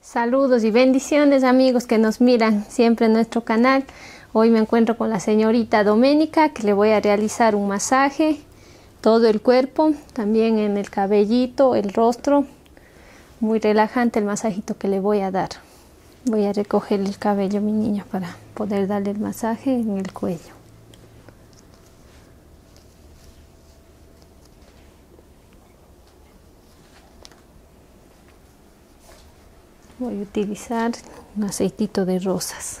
Saludos y bendiciones amigos que nos miran siempre en nuestro canal. Hoy me encuentro con la señorita Doménica que le voy a realizar un masaje, todo el cuerpo, también en el cabellito, el rostro. Muy relajante el masajito que le voy a dar. Voy a recoger el cabello, mi niña, para poder darle el masaje en el cuello voy a utilizar un aceitito de rosas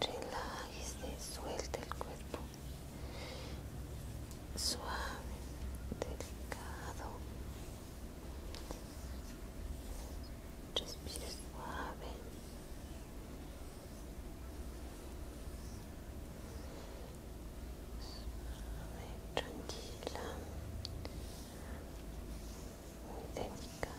relájese, suelta el cuerpo suave, delicado, respire suave. Suave, tranquila, muy delicado.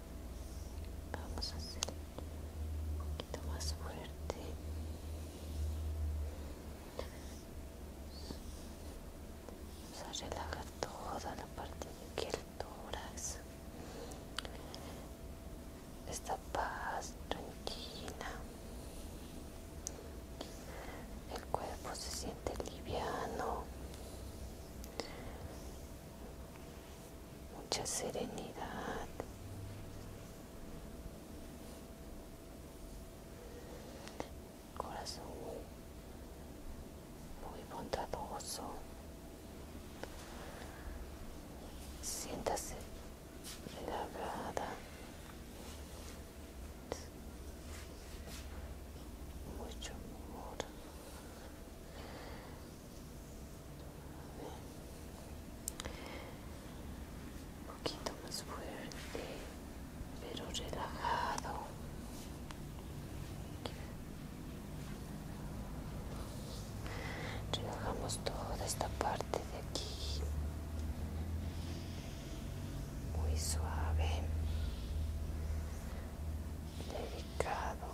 vamos a hacer un poquito más fuerte vamos a relajar toda la parte de aquí el esta paz tranquila el cuerpo se siente liviano mucha serenidad. Corazón muy bondadoso. Siéntase relajada. Mucho amor un poquito más fuerte pero relajado relajamos toda esta parte de aquí muy suave delicado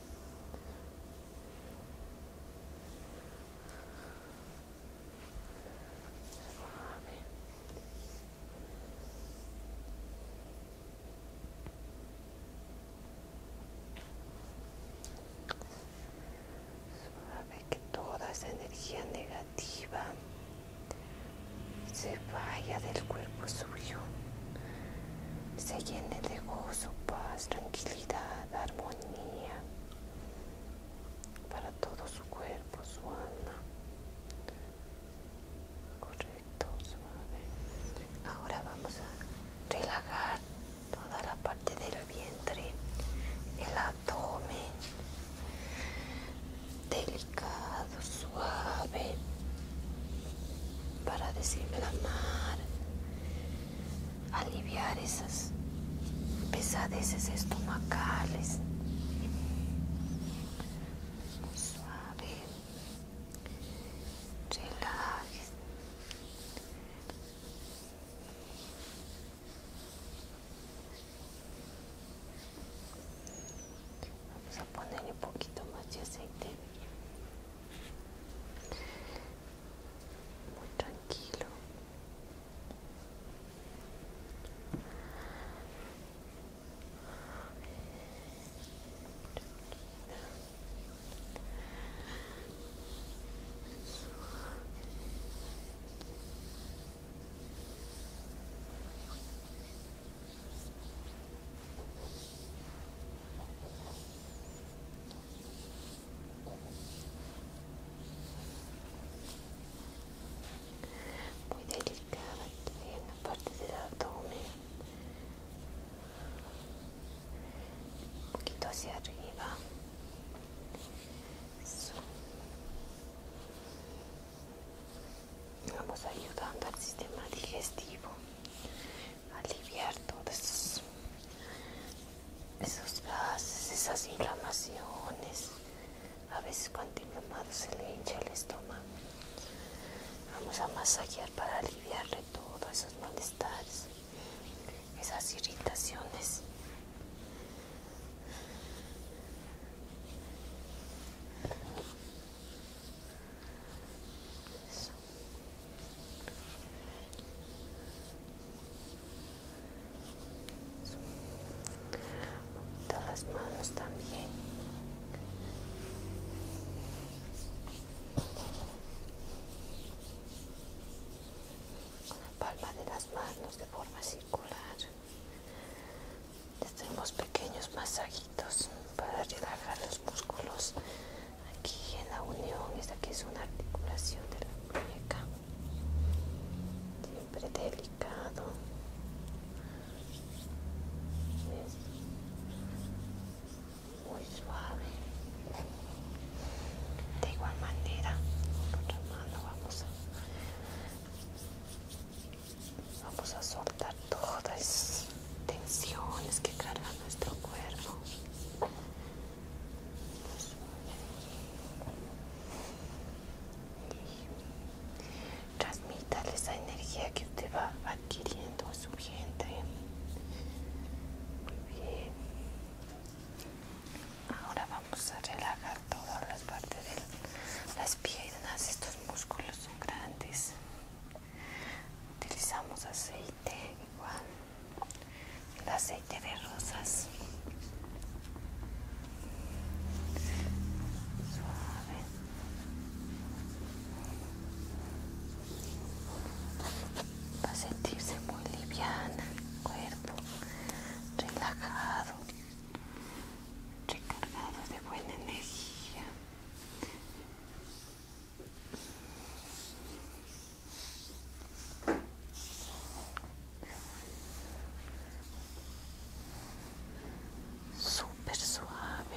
Suave que toda esa energía negativa se vaya del cuerpo suyo, se llene de gozo, paz, tranquilidad dar armonía para todo su cuerpo, su alma. Correcto, suave. Ahora vamos a relajar toda la parte del vientre, el abdomen. Delicado, suave. Para la mar aliviar esas pesadeces estomacales. Muy suave. Relaje. Vamos a ponerle un poquito más de aceite muy tranquilo muy delicada en la parte del abdomen un poquito hacia arriba vamos ayudando al sistema digestivo aliviar todos esos, gases, esas inflamaciones. A veces cuando inflamado se le hincha el estómago. Vamos a masajear para aliviarle todos esos malestares, esas irritaciones todas las manos también con la palma de las manos de forma circular Tenemos pequeños masajitos para relajar los músculos aquí en la unión esta que es una articulación de la muñeca siempre delicado muy suave de igual manera con otra mano vamos a vamos a soltar todas esas tensiones que carga nuestro cuerpo Transmítale esa energía que usted va adquiriendo en su vientre Muy bien. Ahora vamos a relajar todas las partes de las piernas. Estos músculos son grandes. Utilizamos aceite igual el aceite de rosas suave va a sentirse muy liviana el cuerpo relajado recargado de buena energía Super suave.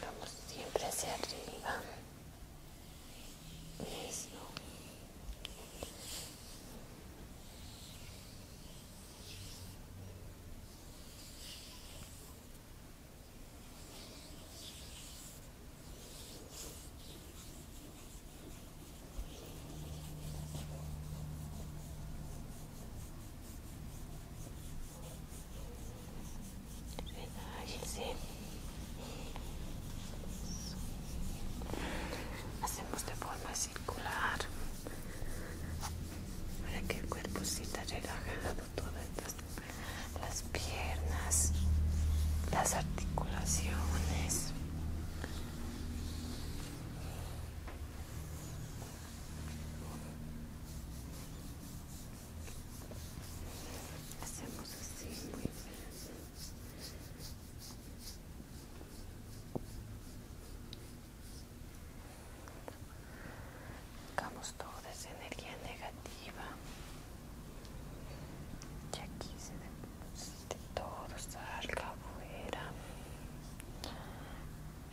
Vamos siempre hacia arriba. Eso. Relájese. Hacemos de forma circular para que el cuerpo sienta relajado todas las piernas, las articulaciones, Hacemos así muy bien. Sacamos toda esa energía negativa y aquí se de todo salga afuera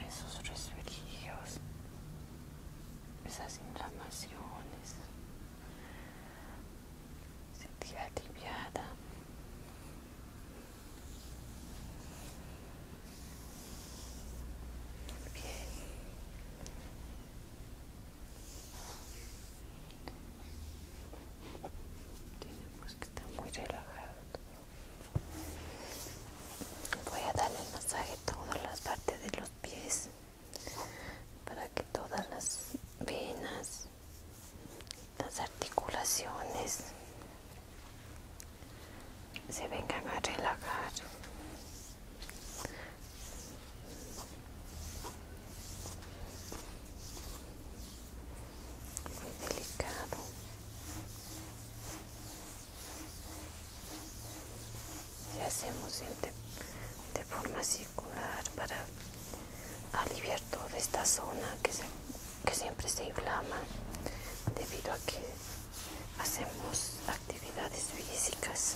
esos resfrios esas inflamaciones sentía aliviada Bien. Tenemos que estar muy relajados. Voy a darle el masaje a todas las partes de los pies para que todas las venas, las articulaciones se vengan a relajar muy delicado y hacemos de, de forma circular para aliviar toda esta zona que siempre se inflama debido a que hacemos actividades físicas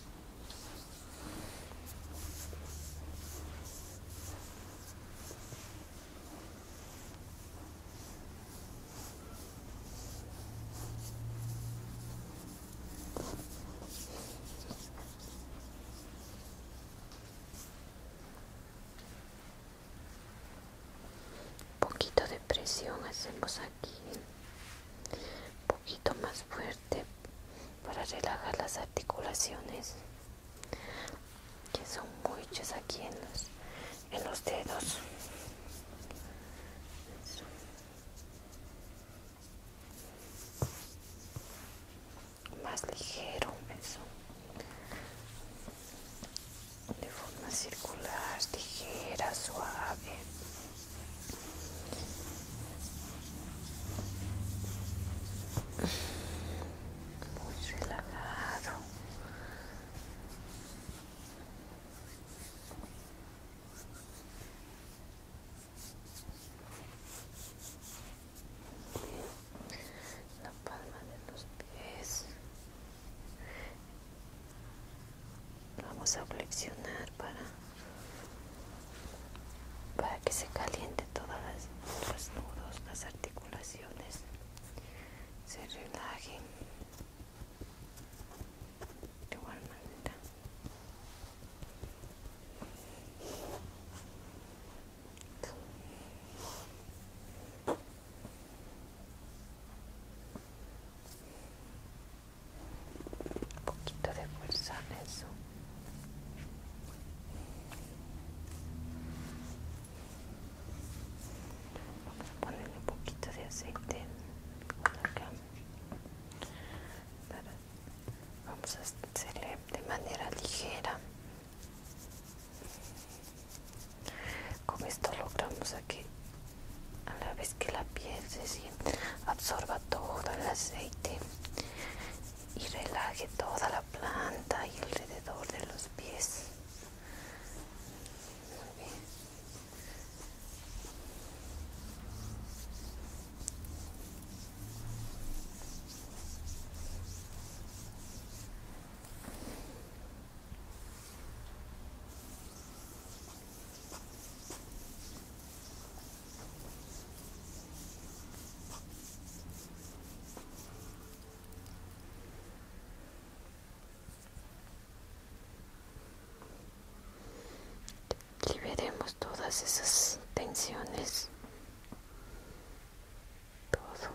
Un poquito de presión hacemos aquí, un poquito más fuerte para relajar las articulaciones que son muchas aquí en los, dedos más ligero de forma circular ligera suave muy relajado la palma de los pies vamos a flexionar para para que se caliente todas las, los nudos, las articulaciones, se relajen de igual manera un poquito de fuerza eso vamos a ponerle un poquito de aceite vamos a hacerle de manera ligera con esto logramos aquí que a la vez que la piel se sienta absorba todo el aceite y relaje toda la planta y alrededor de los pies. Liberemos todas esas tensiones. Todo.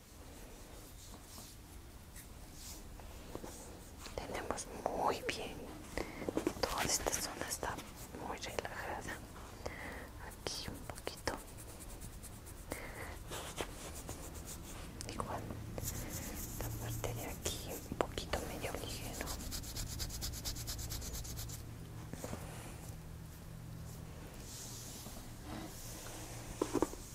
Tenemos muy bien. Toda esta zona está muy relajada. Aquí un poquito. Igual. Esta parte de aquí un poquito medio ligero.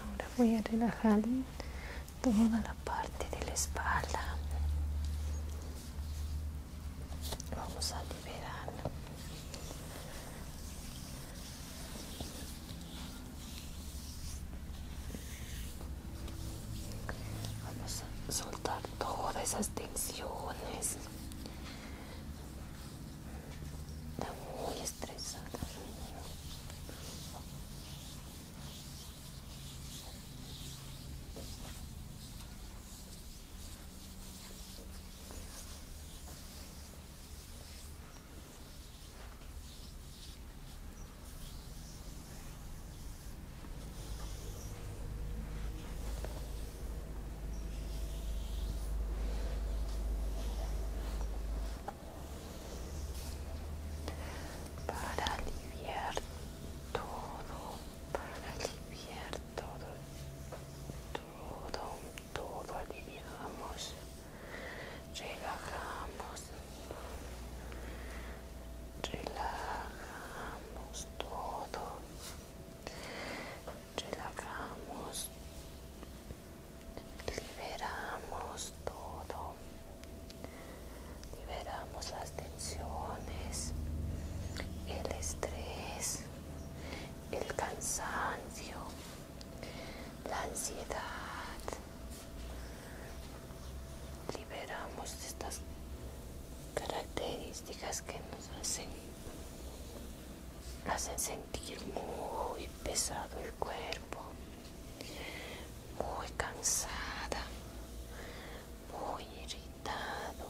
Ahora voy a relajar toda la parte de la espalda. Vamos a liberar Vamos a soltar todas esas tensiones. Está muy estresada para aliviar todo, para aliviar todo, todo, todo aliviamos relajamos, relajamos todo, relajamos, liberamos todo, liberamos las tensiones, el estrés, el cansancio, la ansiedad, liberamos estas características que nos hacen, hacen sentir muy pesado el cuerpo, muy cansada, muy irritado.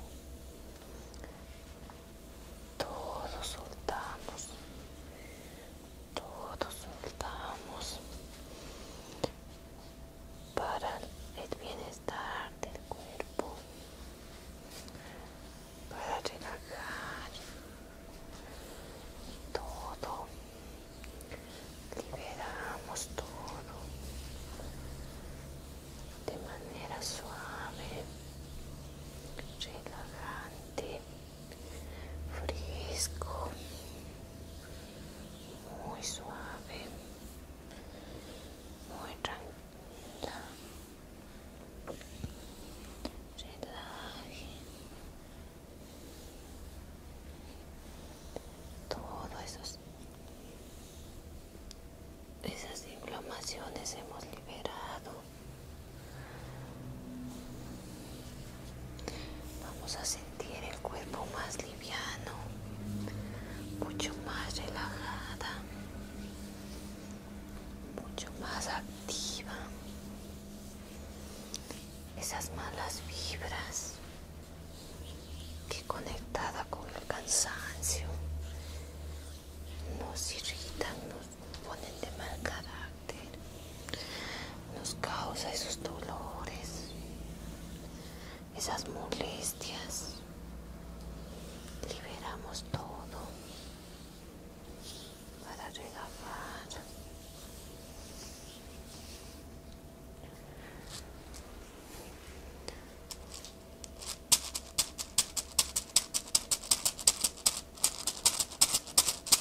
Todos soltamos, todos soltamos para el bienestar del cuerpo, para relajar todo, liberamos todo de manera suave, relajante, fresco muy suave, muy tranquila. Relaje todas esas, esas inflamaciones hemos liberado. Vamos a sentir el cuerpo más liviano, mucho más relajada, mucho más activa. Esas malas vibras que conectada con el cansancio nos irritan, nos ponen de mal carácter nos causa esos dolores, esas molestias. Liberamos todo para regalar.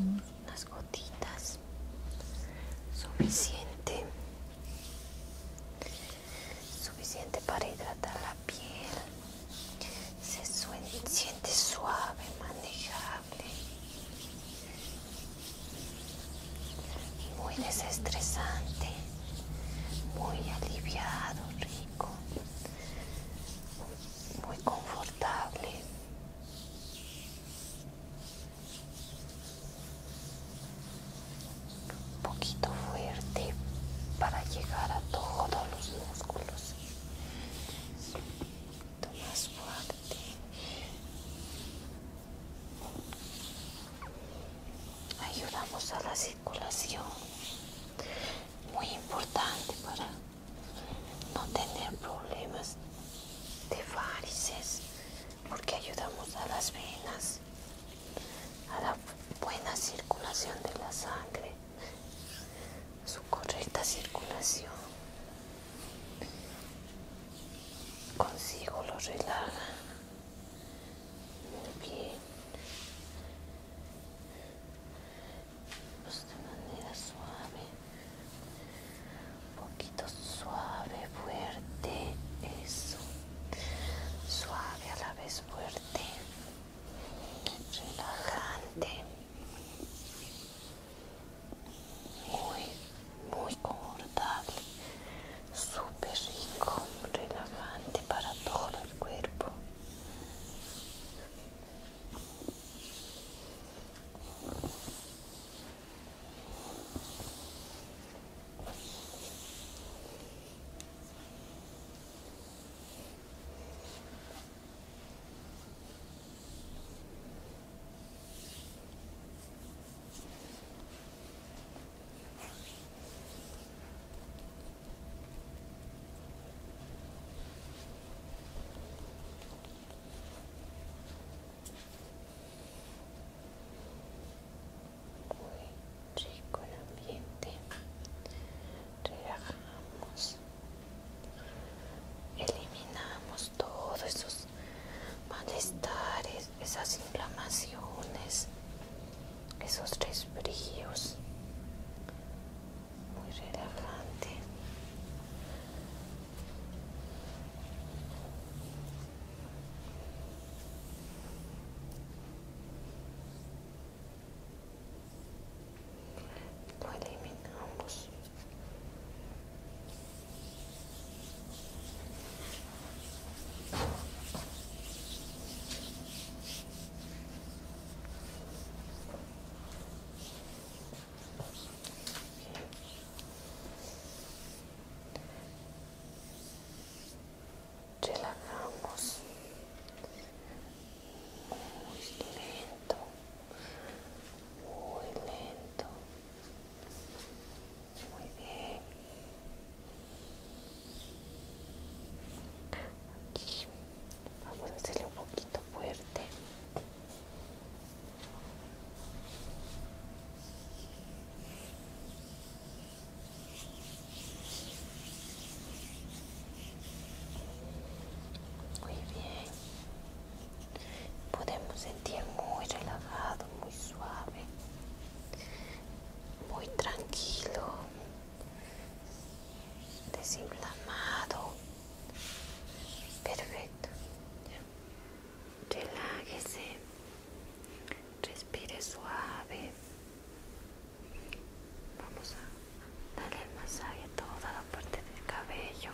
Las unas gotitas suficiente suficiente para hidratar la piel se siente suave manejable muy desestresante, muy aliviado, rico, muy confortable. Un poquito fuerte para llegar a todos los músculos. Más fuerte ayudamos a la circulación muy importante para no tener problemas de varices porque ayudamos a las venas a la buena circulación de la sangre su correcta circulación consigo lo relaja Bien. de manera suave. Un poquito suave, fuerte. Eso. Suave a la vez fuerte. Relajante. Muy muy confortable súper rico relajante para todo el cuerpo muy rico el ambiente. Relajamos. Eliminamos todos esos malestares, esas inflamaciones, esos resfríos. Muy relajante. Lo eliminamos. Relajamos muy lento, muy lento. Muy bien. Aquí vamos a hacerle un poquito fuerte. Muy bien. Podemos sentir muy relajado, muy suave muy tranquilo, desinflamado. Perfecto. Relájese. Respire suave. Vamos a darle el masaje a toda la parte del cabello.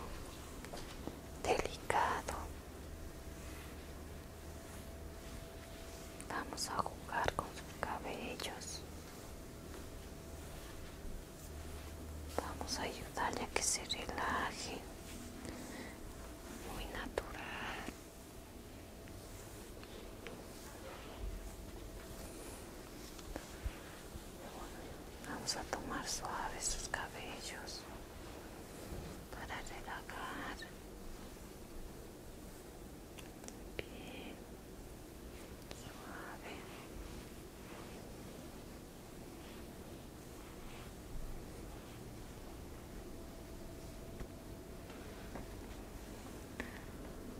Delicado. Vamos a jugar con sus cabellos. Vamos a ayudarle a que se relaje. Muy natural. Vamos a tomar suave sus cabellos para relajar bien suave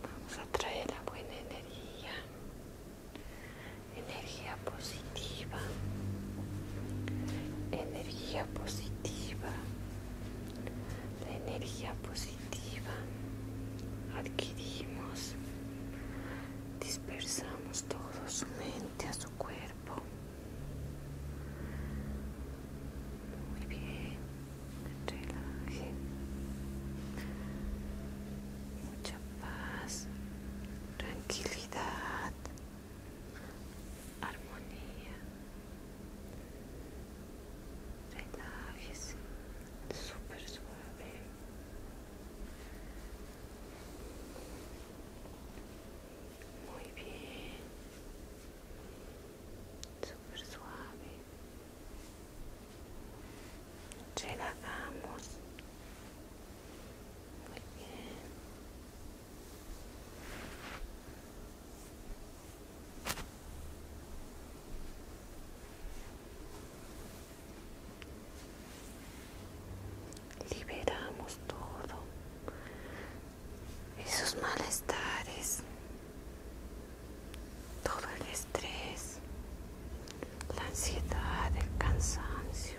vamos a traer la buena energía energía positiva energía positiva, la energía positiva adquirimos, dispersamos todo su mente a su cuerpo. Muy bien, relaje. Mucha paz, tranquilidad armonía. Relájese, súper suave. Muy bien, súper suave. Relajamos. Muy bien. Liberamos todo, esos malestares, todo el estrés, la ansiedad, el cansancio.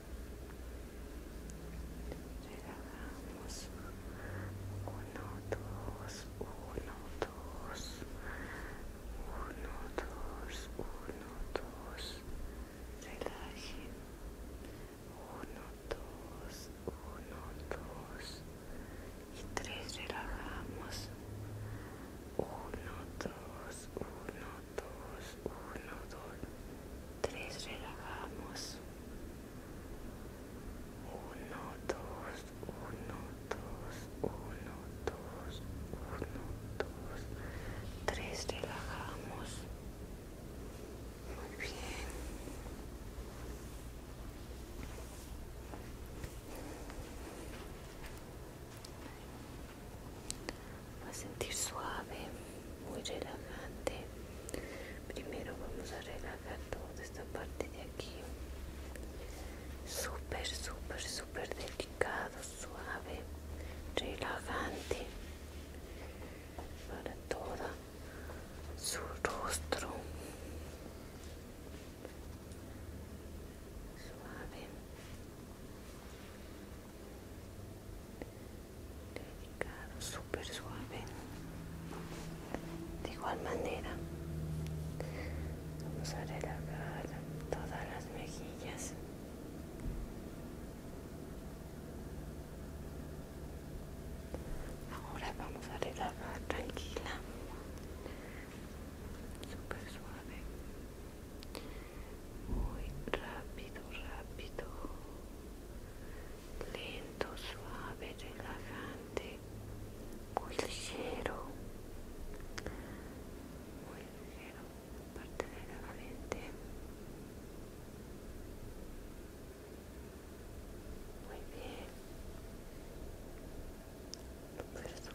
relajamos uno dos uno dos uno dos uno dos relaje, uno dos uno dos y tres relajamos uno dos uno dos uno dos 3 relajamos 1 2 1 2 1 2 1 2 3 relajamos muy bien va a sentir suave muy relajante primero vamos a relajar toda esta parte de aquí super súper super delicado suave relajante para toda su rostro suave delicado, súper suave. De igual manera, vamos a relajar todas las mejillas. Ahora vamos a relajar tranquila, súper suave, muy rápido, rápido lento, suave, relajante, muy ligero, muy ligero, parte de la frente, muy bien, súper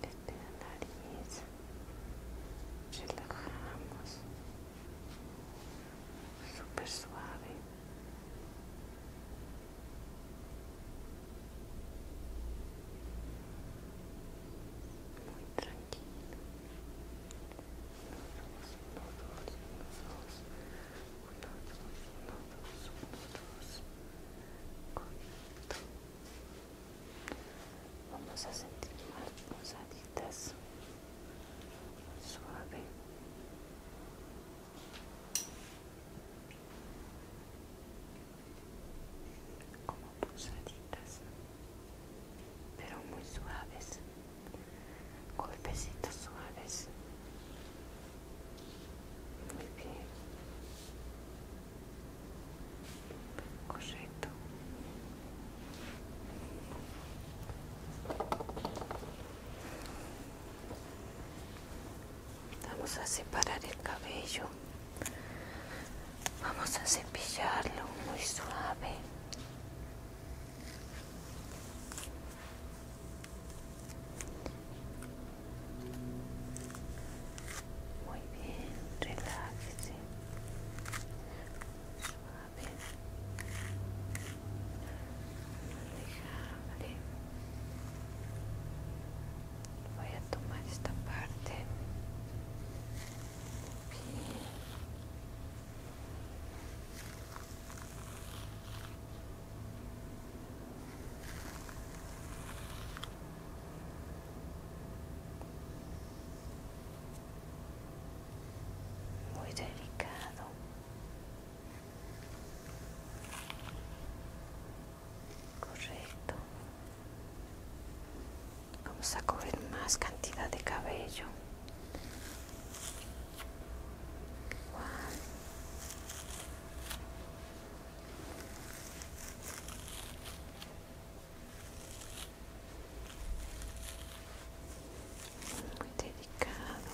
desde la nariz relajamos súper suave muy tranquilo uno vamos a sentir más posaditas suave como pulsaditas pero muy suaves golpecitos suaves muy bien correcto vamos a separar el cabello vamos a cepillarlo muy suave muy bien, relájese. Suave. Manejable. Voy a tomar esta parte. Bien. Muy muy delicado correcto vamos a coger más cantidad de cabello muy delicado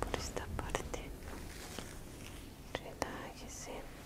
por esta parte relájese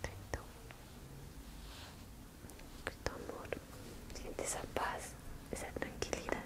Perfecto. Perfecto amor. Siente esa paz, esa tranquilidad.